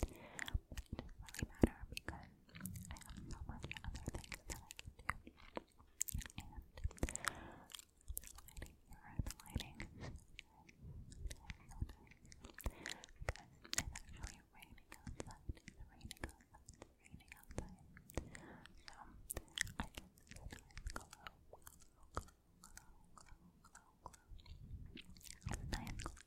But it doesn't really matter because I have so much other things that do. And this lighting the lighting Because it's actually raining outside. It's raining outside. It's raining outside. So I can sometimes glow, glow, glow, glow, glow, glow, glow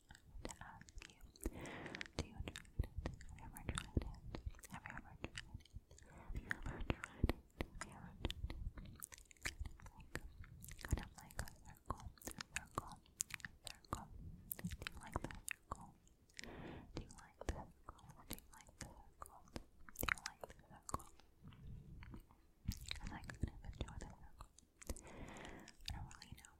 to ask you, do you enjoy it? Have you ever tried it? Have you ever tried it? Have you ever tried it? Have you like, kind circle, a circle, a circle. Do you like the circle? Do you like the circle? Do you like the circle? Do like the circle? enjoy the circle. I don't really know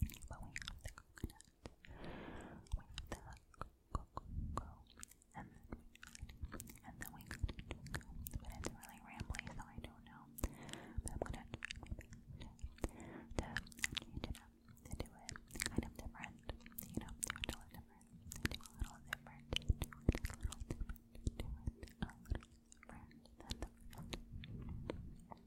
But we have the coconut. We have the cocoa, -co and then we and then we But it's really rambly, so I don't know. I'm gonna to change it up, to do it kind of different, you know, do it a little different, do a little different, do it a little different, do it a little different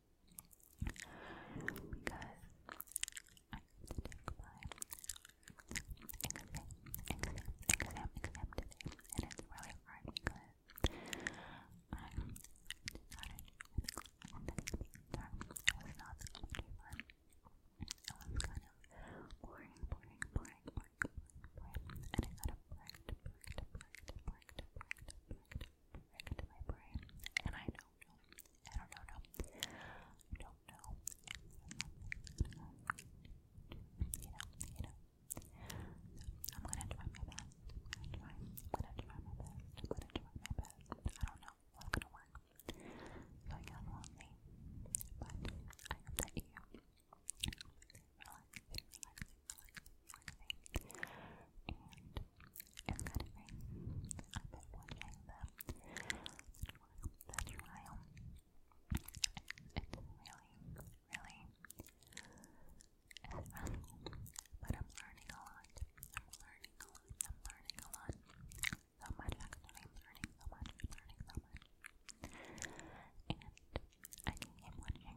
because I have to my exam, exam, exam, exam today, and it's really hard because I'm not in was not so It was kind of boring, boring, boring, boring, boring, and I got a bricked, bricked, bricked, bricked, bricked, bricked, my brain, and I know do I don't know. I don't know. You know, you know. I'm gonna try my best. I'm gonna try. I'm gonna try my best. I'm gonna try my best. I don't know what's gonna work. So I got lonely. But I hope that you it's kind I've been watching the the It's really, really but I'm learning a lot. I'm learning a lot. I'm learning a lot. So much I'm learning so much. I'm learning so much. And I keep watching. I keep watching. I keep watching.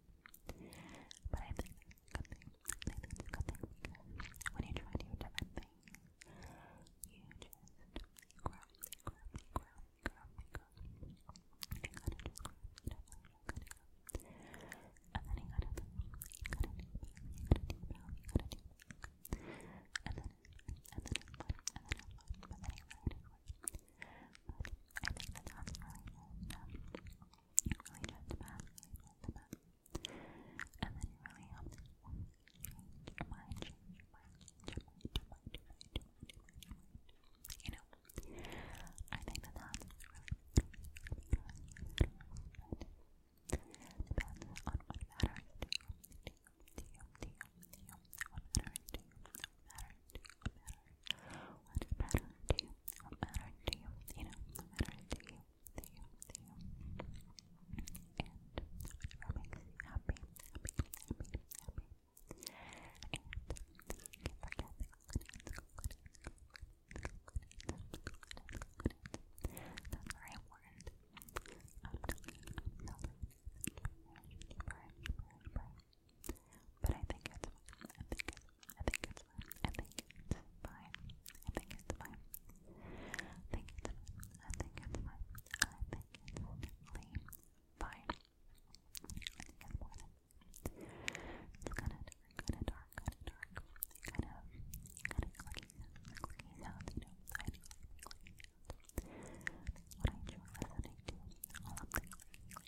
But I think that's a good thing. because when you try to different things, you just grow, grow, grow, grow, grow. You gotta you gotta And then you gotta do, you gotta you gotta do, you gotta And then, and then it's and then you gotta really gentlemanly, gentleman. And then it really helped me change your mind, change your mind, change your mind, your your mind, You know, I think that that's really, Depends on what matters to you, to you, to you, to you, what matters to you. What matters to you? What matters? to you? What matters to you? You know, what matters to you? To you, to you. And whichever happy, happy, happy, happy. And you can forget That's very important. But I think it's I think it's I think it's I think it's fine. I think it's fine. I think it's I think it's fine. I think it's definitely fine. it's kinda different, kinda dark, kinda dark. Kind of kind of clicking clicking sounds, you know. I do like clicking sounds. That's what I enjoy listening to. All of the clicking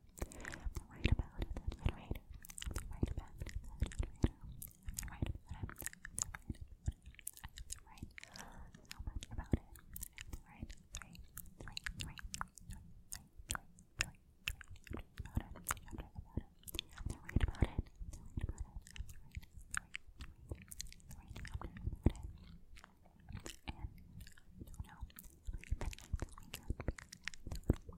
I'm right about it, that generator. I'm right about it, that generator. I'm right about it, that generator. I'm right so much about it. I'm right three, three, three, three, three, three, three, three. I'm about it. I'm right about it. I'm right about it. I'm right about it. I'm right, three, three, about it. And I don't know,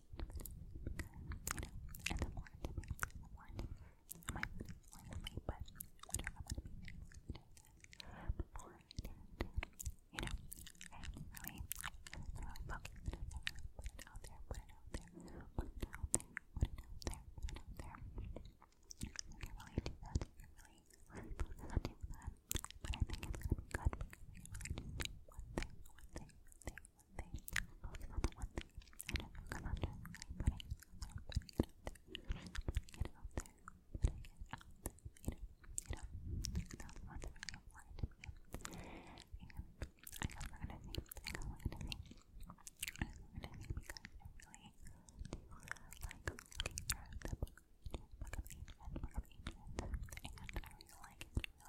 you know, and the more to me, the more to me, I might honestly, but whenever I'm gonna be doing this, before I do it, you know, I really, really focus on it, put it out there, put it out there, put it out there, put it out there, put it out there, you can really do that, you can really, really focus on doing that, but I think it's gonna be good because we really just do one thing, one thing, one thing, one thing. Focus on the one thing. I don't focus on just putting it out there, putting it out there, you know, you know. That's one thing I wanted to do. And I got we're gonna think, I got we're gonna think. I got we're gonna think because I really do like looking through the book. Book of Ancients, Book of Ancients, and I really like it. It's really